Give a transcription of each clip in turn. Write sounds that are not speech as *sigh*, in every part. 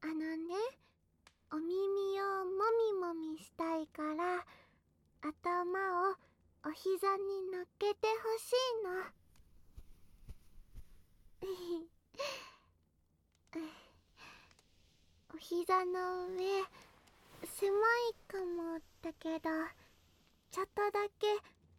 あのねお耳をもみもみしたいから頭をお膝に乗っけてほしいの *laughs* お膝の上狭いかもだけどちょっとだけ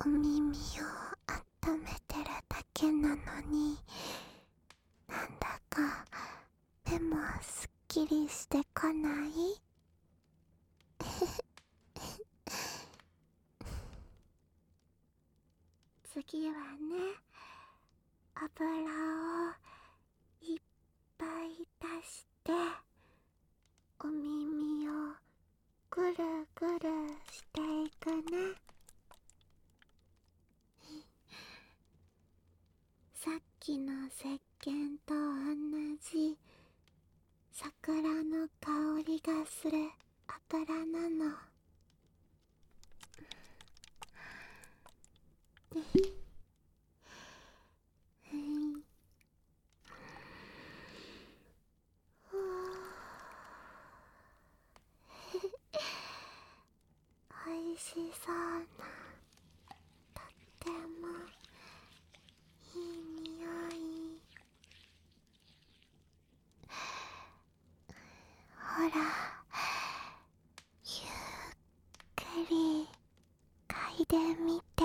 お耳を温めてるだけなのになんだか目もすっきりしてこない *laughs* 次はね油をいっぱい足してお耳をぐるぐるしていくね *laughs* さっきの石んと同じ桜の香りがするあからなのうん *laughs* おいしそうなとってもいい匂いほらゆっくり嗅いでみて。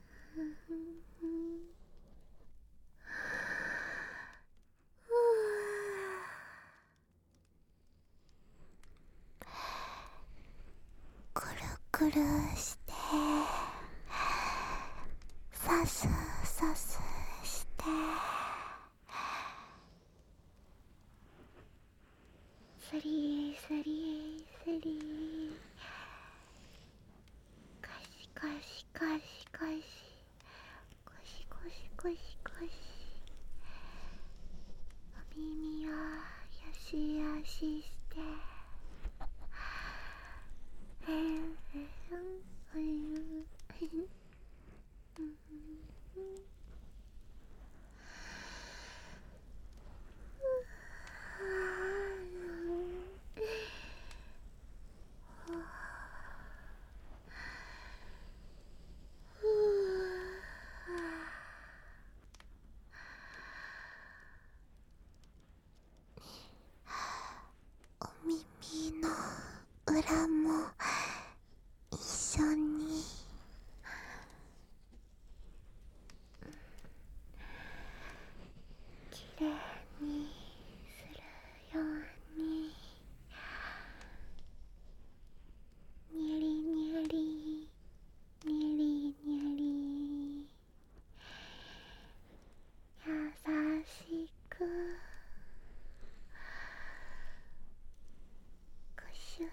ふくるくるしてさすさすしてスリースリースリーかしこしかしかしこしこしこしこしお耳をよしやししてええんお耳の裏も一緒にきれいにする。ようににゃりにゃりにゃりにゃり優しくこしゅ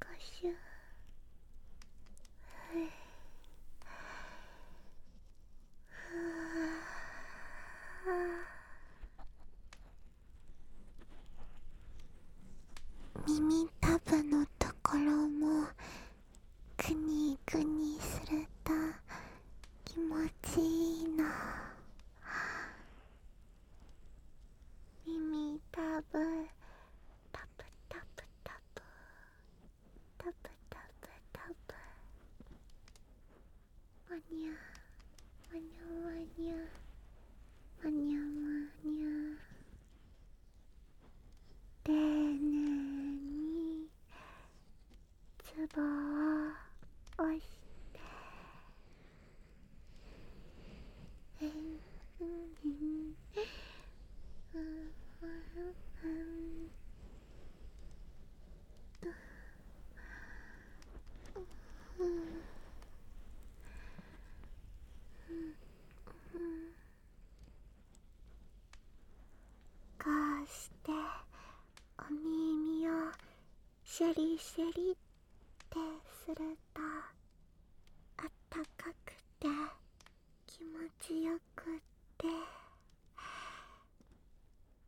こしゅふ耳たぶのところもくにくにすると気持ちいいな耳たぶたぶたぶたぶタプタプタプマニャマニャマニャマニャマニャ丁寧にツボを押してえうんうんうんうんうんう、うん。ん。こうしてお耳をシェリシェリってするとあったかくて気持ちよくって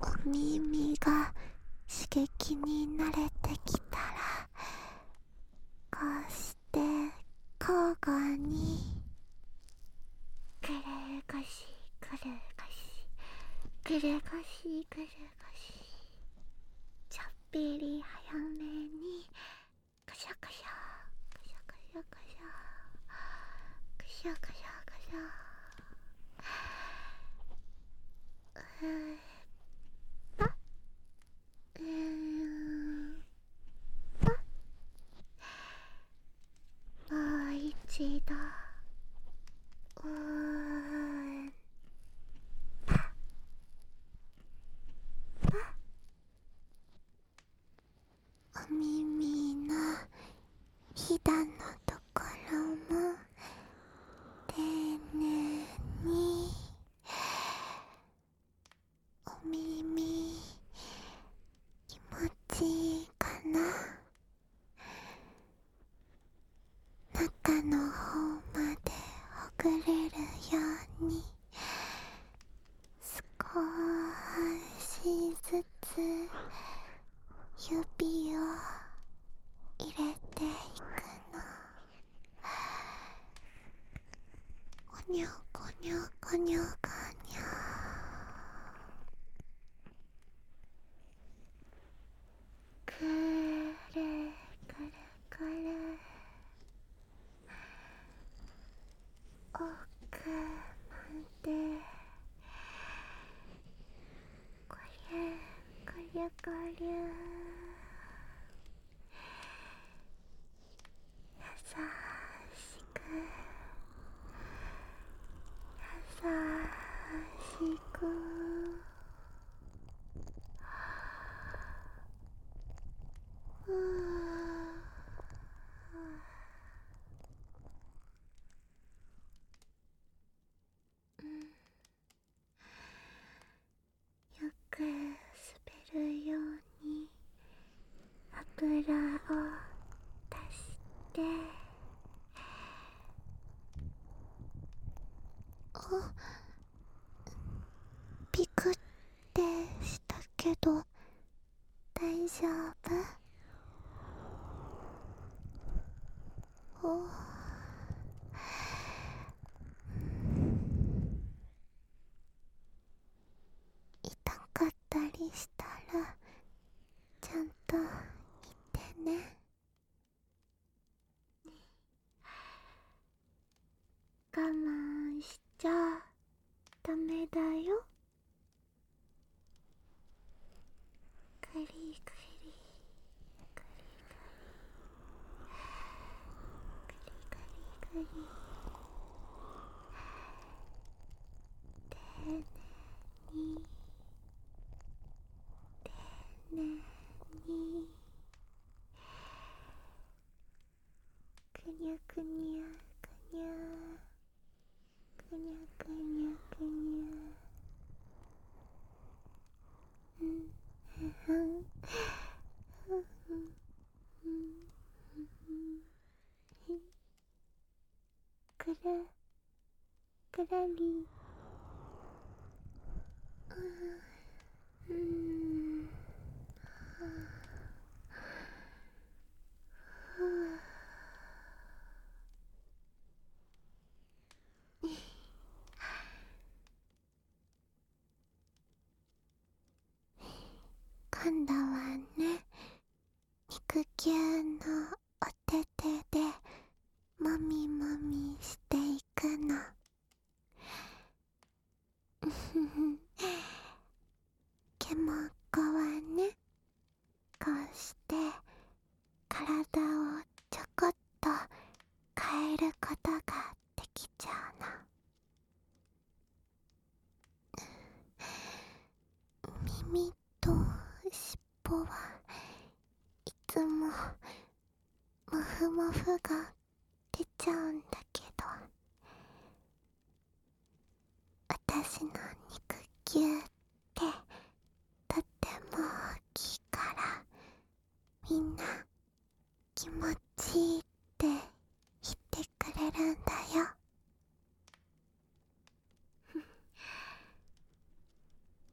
お耳が刺激に慣れてきたらこうして交互にくるごしくるごしくるごしくるごしちょっぴり早めにカシャカシャカシャカシャカシャカシャカシャカシャえーパえーパもう一度うーんパパお耳のひだのところも丁寧にお耳気持ちいいかな中の方までほぐれるように。少しずつ指を入れていくのこにょこにょこにょこにょくるくるくる奥までこりゃこりゃこりゃ優しく優しくううんよく滑るように油を足してあピクってしたけど大丈夫痛かったりしたらちゃんと言てね我慢しちゃダメだよカリカリカリカリカリカリカリ丁寧に丁寧にくにゃくにゃくにゃくにゃくにゃくにゃうんうんうんうんくら、くるりうんうん今度はね肉球のお手手でもみもみしていくの *laughs* ケモコはねこうして体をちょこっと変えることができちゃうの。耳と尻尾はいつももふもふが出ちゃうんだけど私の肉球ってとっても大きいからみんな気持ちいいって言ってくれるんだよ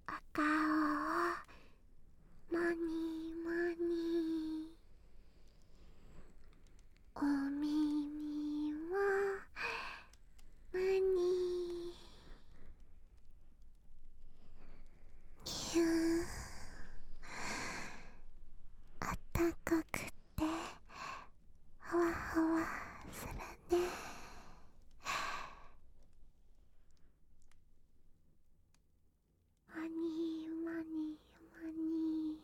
お顔をもにもにお耳は何キューあったかくてほわほわするねマニーマニーマニー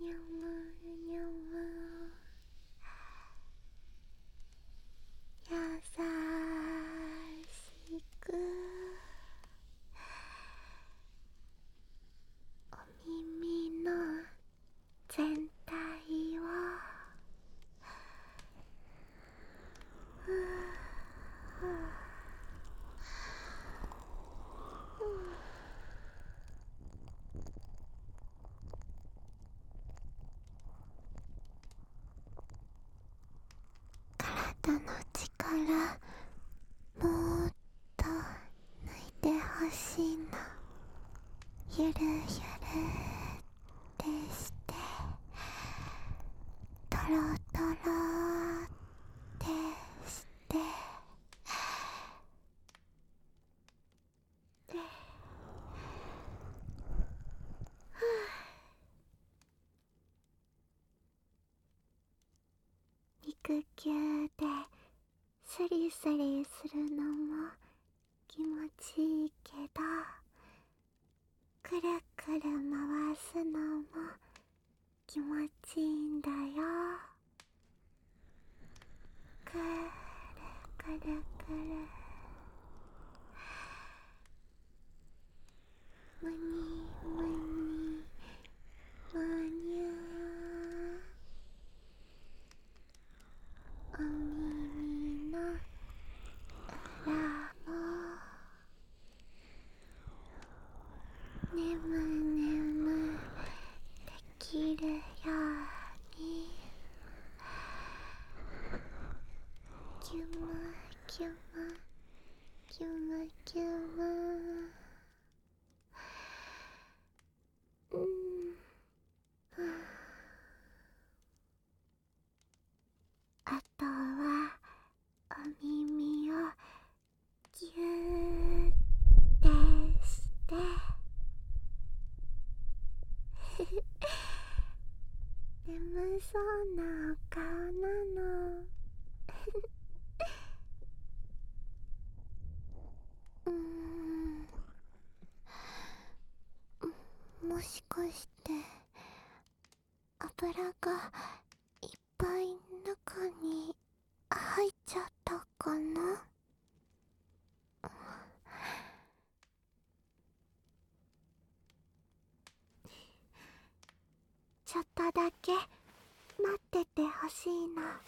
にゃむにゃむ優しくお耳の全体をふうふうふう体の力もっと抜いてほしいのゆるゆるってしてとろとろってしてで、はあ、肉球ですりすりするのも気持ちいいけどくるくる回すのも気持ちいいんだよくるくるくるむにむにむにゃーお耳の裏も眠眠きるようにキュムキュムキュムキュムうんあとはお耳をぎゅーってして眠そうなお顔なのうんもしかして油がいっぱい中に入っちゃったかなちょっとだけ待っててほしいな。